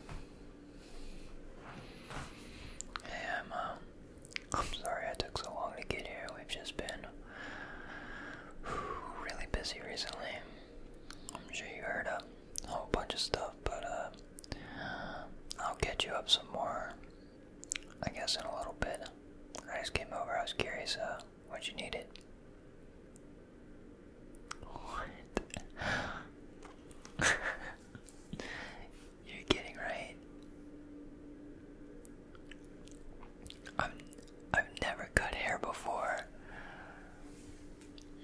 Hey, I'm, um, I'm sorry I took so long to get here. We've just been really busy recently. I'm sure you heard a whole bunch of stuff, but uh, I'll get you up some more, I guess, in a little bit. I just came over. I was curious uh, what you needed. What? You're kidding, right? I'm I've never cut hair before.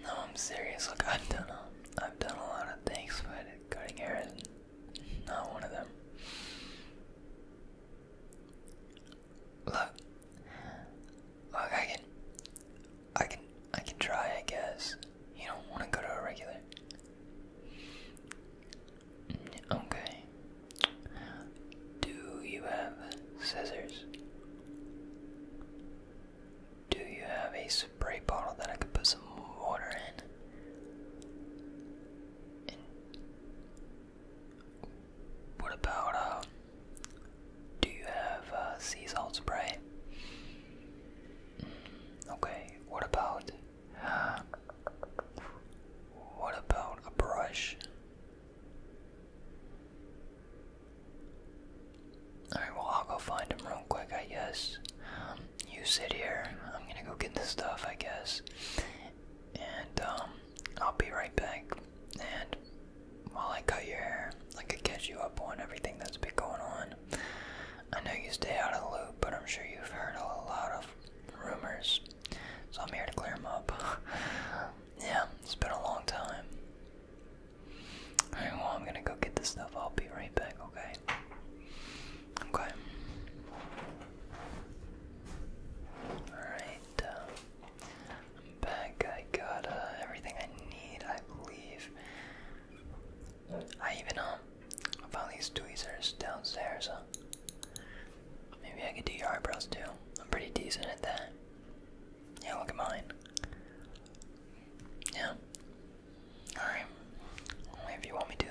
No, I'm serious. Look, I've done a, I've done a lot of things, but cutting hair is not one of them. Look, look, I can I can try, I guess. You don't want to go to a regular. Mm, okay. Do you have scissors? Do you have a spray bottle that I could put some water in? what about uh do you have uh, sea salt spray? Mm, okay, what about. Uh, what about a brush? Alright, well, I'll go find him real quick, I guess. you sit here. I'm gonna go get the stuff, I guess. And, um, I'll be right back. And while I cut your hair, I could catch you up on everything that's been going on. I know you stay out of the loop, but I'm sure you've heard a lot of rumors, so I'm here to clear them up. yeah, it's been a long time. Alright, well, I'm gonna go get the stuff. I'll be right back, okay? Okay. Alright, uh, I'm back. I got uh, everything I need, I believe. I even um found these tweezers downstairs. Huh? Maybe I could do your eyebrows too. I'm pretty decent at that. Yeah, look at mine. Yeah. Alright. if you want me to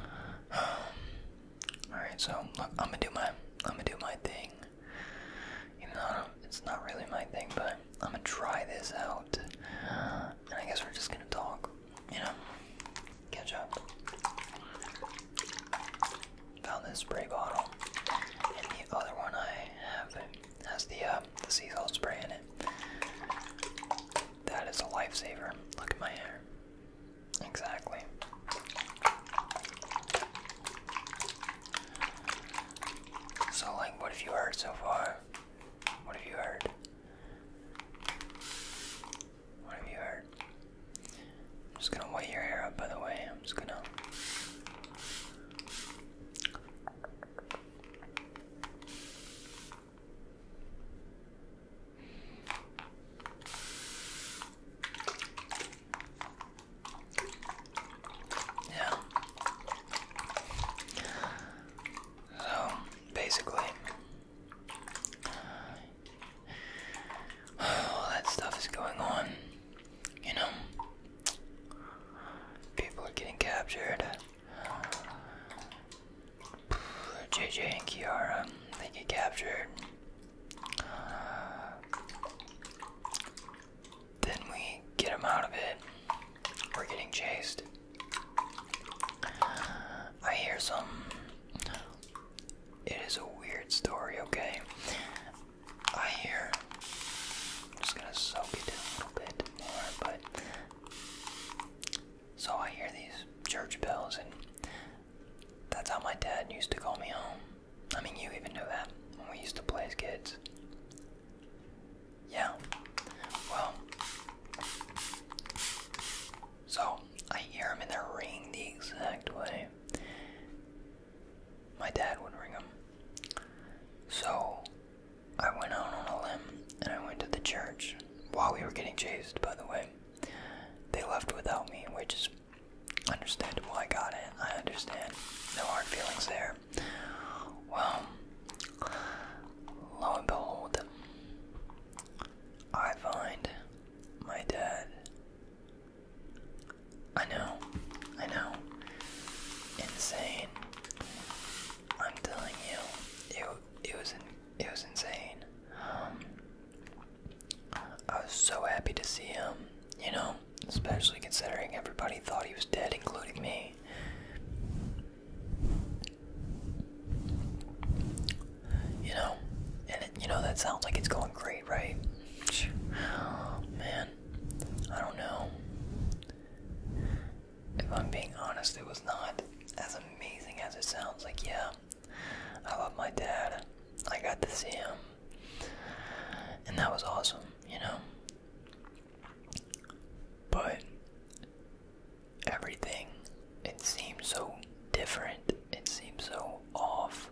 though. Alright, so look I'm gonna do my I'm gonna do my thing. You know, it's not really my thing, but I'm gonna try this out. And I guess we're just gonna talk, you know, catch up. Found this spray bottle, and the other one I have has the uh, the sea salt spray in it. That is a lifesaver. Look at my hair. Exactly. So, like, what have you heard so far? What have you heard? What have you heard? I'm just gonna weigh your hair up, by the way. I'm just gonna. Yeah. So basically, all that stuff is going on. You know, people are getting captured. JJ and Kiara, they get captured. Then we get him out of it. We're getting chased. I hear some. It is a weird story, okay? I hear. just gonna soak it in a little bit more, but. So I hear these church bells, and that's how my dad used to call me home. I mean, you even knew that when we used to play as kids. Yeah. Well. So I hear them in the ring the exact way my dad would ring them. So I went out on a limb and I went to the church while we were getting chased. By the way, they left without me, which is understandable. I got it. I understand. No hard feelings there. Well, lo and behold, I find my dad. I know, I know. Insane. I'm telling you, it it was it was insane. Um, I was so happy to see him. You know, especially considering everybody thought he was dead, including me. You know, and you know that sounds like it's going great, right? man, I don't know. If I'm being honest, it was not as amazing as it sounds. Like, yeah, I love my dad. I got to see him, and that was awesome. You know, but everything, it seems so different. It seems so off.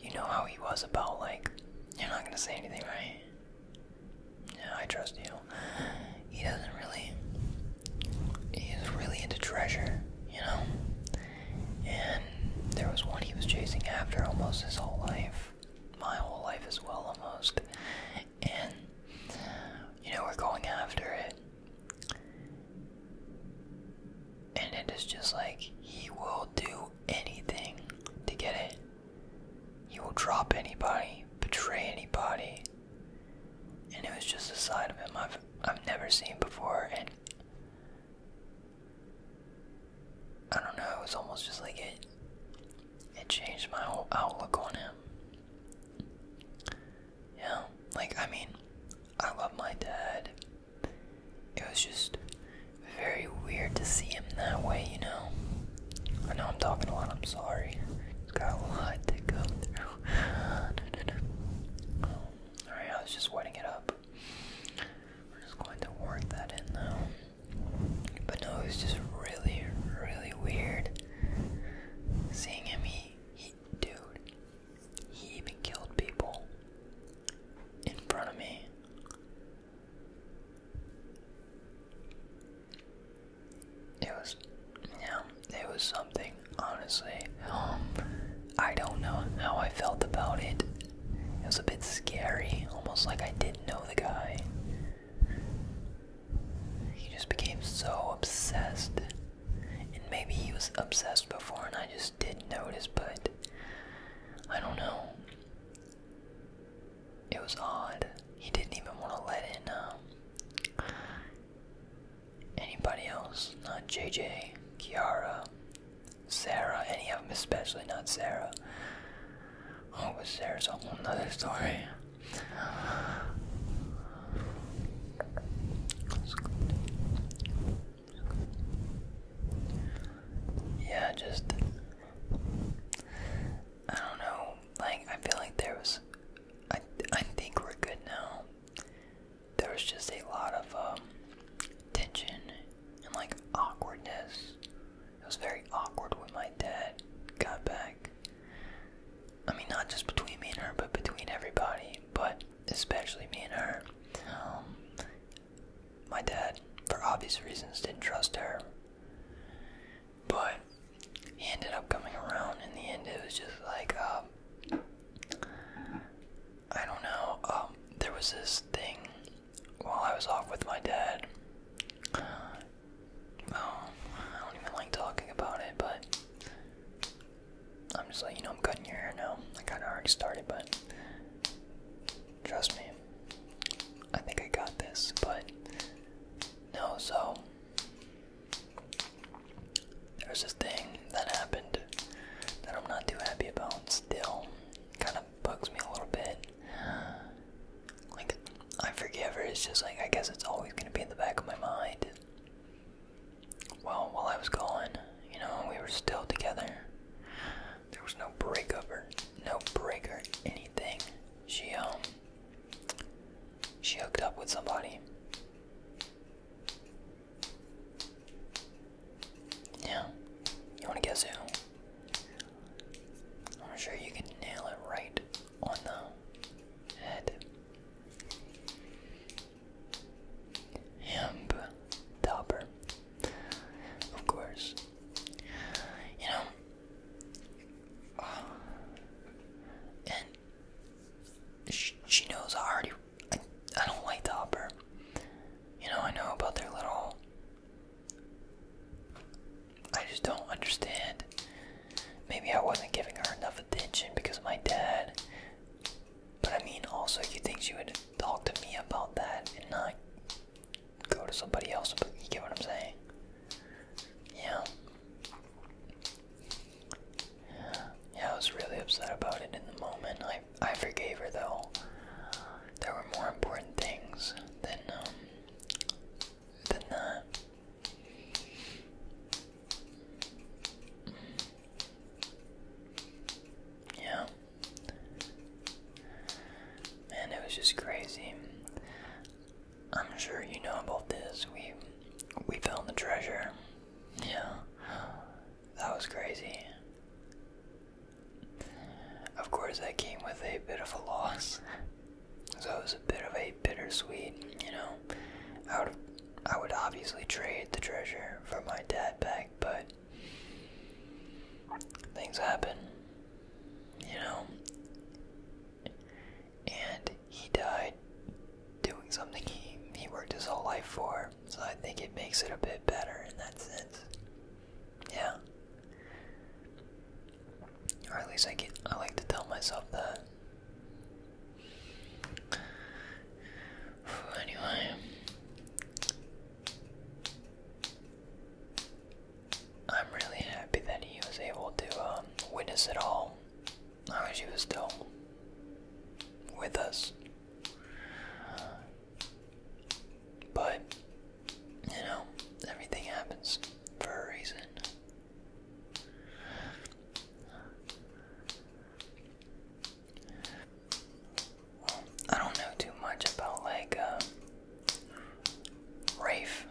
You know how he was about, like, you're not gonna say anything, right? Yeah, I trust you. He doesn't really. He's really into treasure, you know? And there was one he was chasing after almost his whole life my whole life as well, almost. And, you know, we're going after it. And it is just like, he will do anything to get it. He will drop anybody, betray anybody. And it was just a side of him I've, I've never seen before. And I don't know, it was almost just like it it changed my whole outlook on him. Yeah, like I mean, I love my dad. It was just very weird to see him that way, you know. I know I'm talking a lot, I'm sorry. got a lot to go Alright, I was just wetting it up. We're just going to work that in though. But no, it was just really, really weird seeing him. He, dude, he even killed people in front of me. It was, yeah, it was something, honestly. I don't know how I felt about it. It was a bit scary, almost like I didn't know the guy. He just became so obsessed. And maybe he was obsessed before and I just didn't notice, but I don't know. It was odd. He didn't even want to let in um, anybody else, not JJ, Kiara, Sarah, any of them, especially not Sarah. Oh, but Sarah's a whole other story. Yeah, just I don't know. Like I feel like there was, I I think we're good now. There was just a lot of um, tension and like awkwardness. It was very awkward when my dad got back. I mean, not just between me and her, but between everybody, but especially me and her. Um, my dad, for obvious reasons, didn't trust her. But he ended up coming around. In the end, it was just like, um, I don't know. Um, there was this thing while I was off with my dad. I don't even like talking about it, but I'm just like, you know, I'm cutting your hair now. I kind of already started, but trust me, I think I got this, but no, so there's this thing that happened that I'm not too happy about still. Kind of bugs me a little bit. Like, I forgive her, it's just like, I guess it's always gonna be in the back of my mind. Well, while I was gone, you know, we were still together. There was no breakup or no break or anything. She, um, she hooked up with somebody. Yeah. You wanna guess who? I'm sure you can nail it right on the head. Hemp topper. Of course. You know, and she, she knows I already. I, I don't like the upper. You know, I know about their little I just don't understand. Maybe I wasn't giving her enough attention because of my dad. But I mean, also, you think she would talk to me about that and not go to somebody else? But you get what I'm saying? Yeah. Yeah, I was really upset about it in the moment. I I forgave her though there were more important things than um, than that. Yeah. Man, it was just crazy. I'm sure you know about this. We we found the treasure. Yeah. That was crazy. Of course, that came with a bit of a loss, so it was a bit of a bittersweet. You know, I would I would obviously trade the treasure for my dad back, but things happen. You know, and he died doing something he he worked his whole life for, so I think it makes it a bit better in that sense. Yeah. Or at least I get I like to tell myself that. Anyway. I'm really happy that he was able to um, witness it all. I wish he was still with us. But, you know, everything happens for a reason. I don't know too much about, like, uh, Rafe.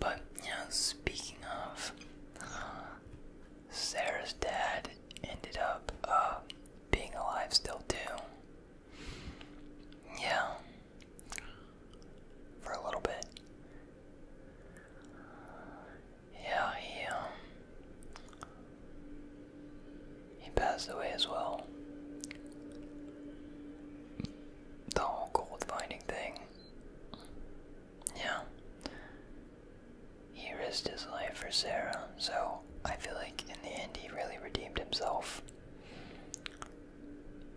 But, you know, speaking of, Sarah's dad ended up, uh, being alive still, too. Yeah. For a little bit. Yeah, he um, he passed away as well. The whole gold finding thing. Yeah. He risked his life for Sarah, so I feel like in the end he really redeemed himself.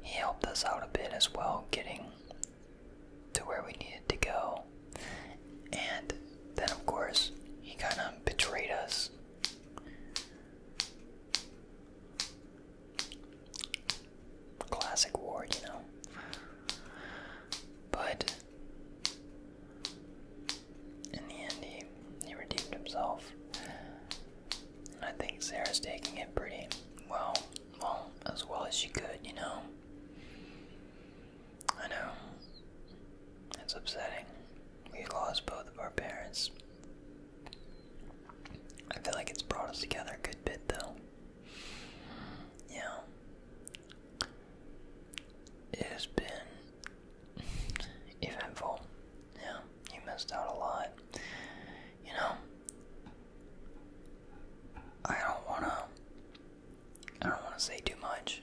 He helped us out a bit as well, getting to where we needed to go. And then, of course, he kind of betrayed us. Classic Ward, you know. But in the end, he, he redeemed himself. I think Sarah's taking it pretty well, well, as well as she could, you know. I know. It's upsetting. We lost both of our parents. I feel like it's brought us together a good bit, though. Yeah. It has been eventful. Yeah, you missed out a lot. You know, I don't wanna. I don't wanna say too much.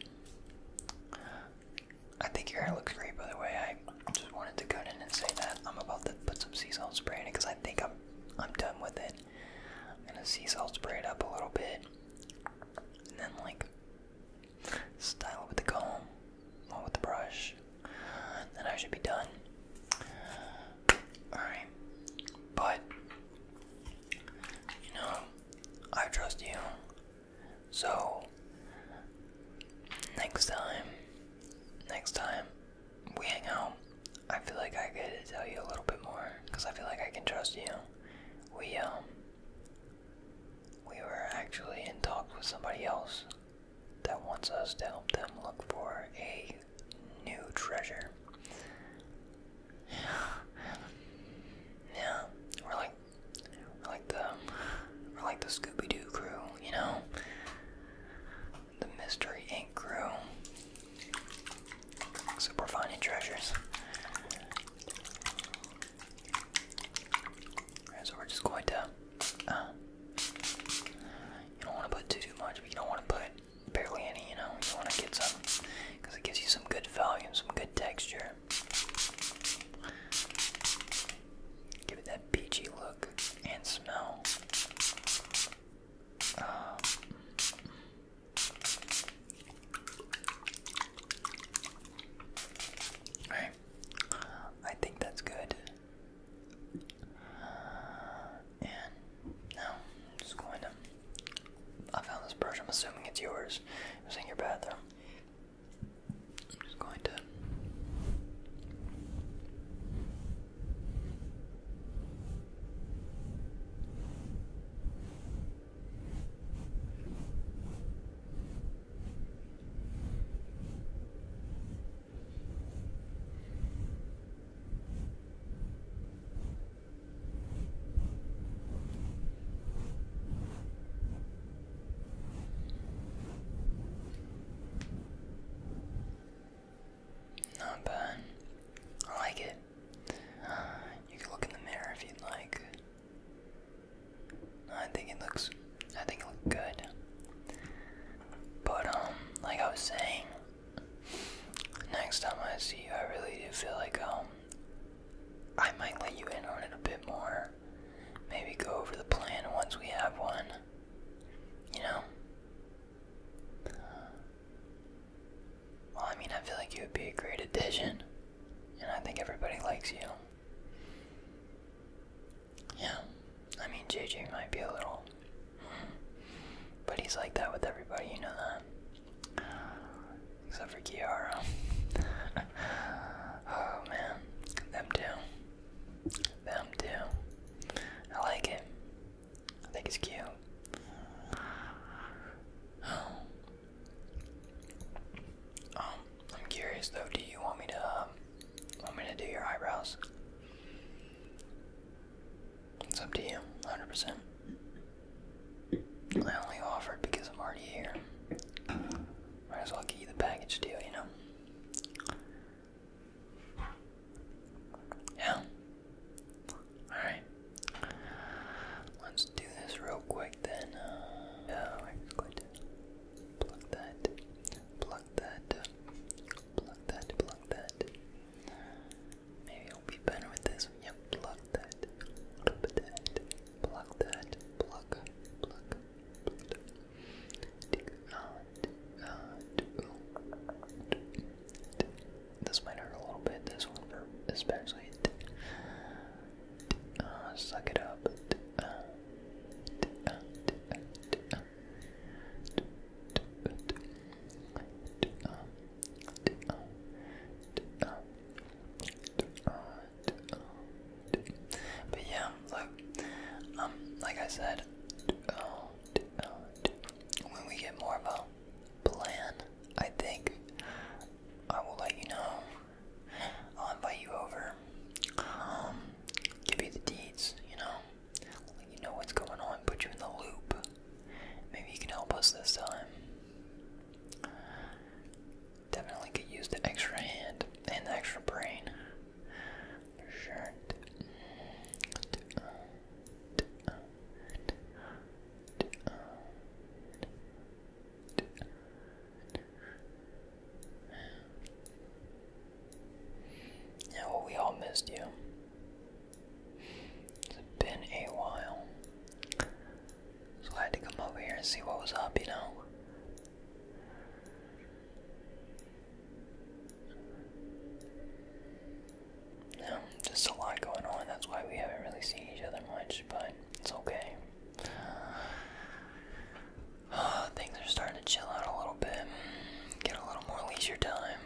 I think your hair looks great, by the way. I just wanted to go in and say that I'm about to put some sea salt spray in it because I think I'm I'm done with it. I'm gonna sea salt spray it up a little bit, and then like Style it with the comb, or with the brush. Then I should be done. Alright. But, you know, I trust you. So, next time, next time we hang out, I feel like I could tell you a little bit more because I feel like I can trust you. We, um, we were actually in talks with somebody else that wants us to help them look for a new treasure. yeah, we're like we're like the we're like the Scooby Doo crew, you know, the Mystery Inc. crew. Except we're finding treasures so we're just going to. Uh, you don't want to put too, too much, but you don't want to put barely any, you know? You want to get some, because it gives you some good volume, some good texture. Give it that peachy look and smell. Um, I think that's good. And now I'm just going to. I found this brush. I'm assuming it's yours. It was in your bathroom. I'm just going to. Not bad. I like it. you can look in the mirror if you'd like. I think it looks I think it looks good. But um like I was saying next time I see you I really do feel like um I might let you in on it a bit more. Maybe go over the plan once we have one. You know? Well, I mean, I feel like you would be a great addition, and I think everybody likes you. Yeah, I mean, JJ might be a little. But he's like that with everybody, you know that. Except for Kiara. oh man, them too. Them too. I like him. I think he's cute. Oh. Um, I'm curious though. Do you want me to um, want me to do your eyebrows? It's up to you, 100%. I only offered because I'm already here. Might as well give you the package deal, you know? Yeah. Alright. Let's do this real quick then. Uh, yeah, I'm Plug that. Plug that. Plug that. Plug that. Maybe it'll be better with this. Yep. Plug that. Plug that. Plug that. Plug. Plug. Plug. Dig out. Out. Out. This might hurt a little bit. This one, especially. Uh, suck it up. Uh, but yeah, look, um, like I said, when we get more of a plan, I think I will let you know. I'll invite you over. Um, give you the deeds, you know. Let you know what's going on, put you in the loop. Maybe you can help us this time. Definitely could use the extra hand and the extra brain. sure. Yeah, well, we all missed you. It's been a while. So I had to come over here and see what was up, you know? Yeah, just a lot going on. That's why we haven't really seen each other much, but it's okay. things are starting to chill out a little bit, get a little more leisure time.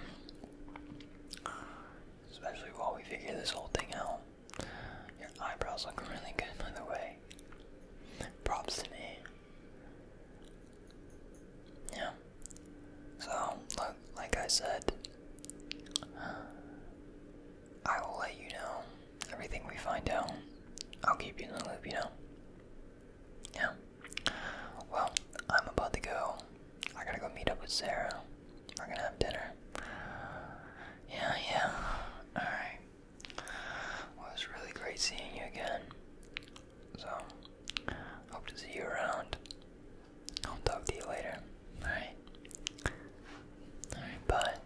Especially while we figure this whole thing out. Your eyebrows look really good, by the way. Props to me. Yeah. So, look, like I said, I will let you know everything we find out. I'll keep you in the loop, you know. Yeah. Well, I'm about to go. I gotta go meet up with Sarah. We're gonna have dinner. Yeah, yeah. Alright. Well, it was really great seeing you again. So, hope to see you around. I'll talk to you later. Alright. Alright, bye.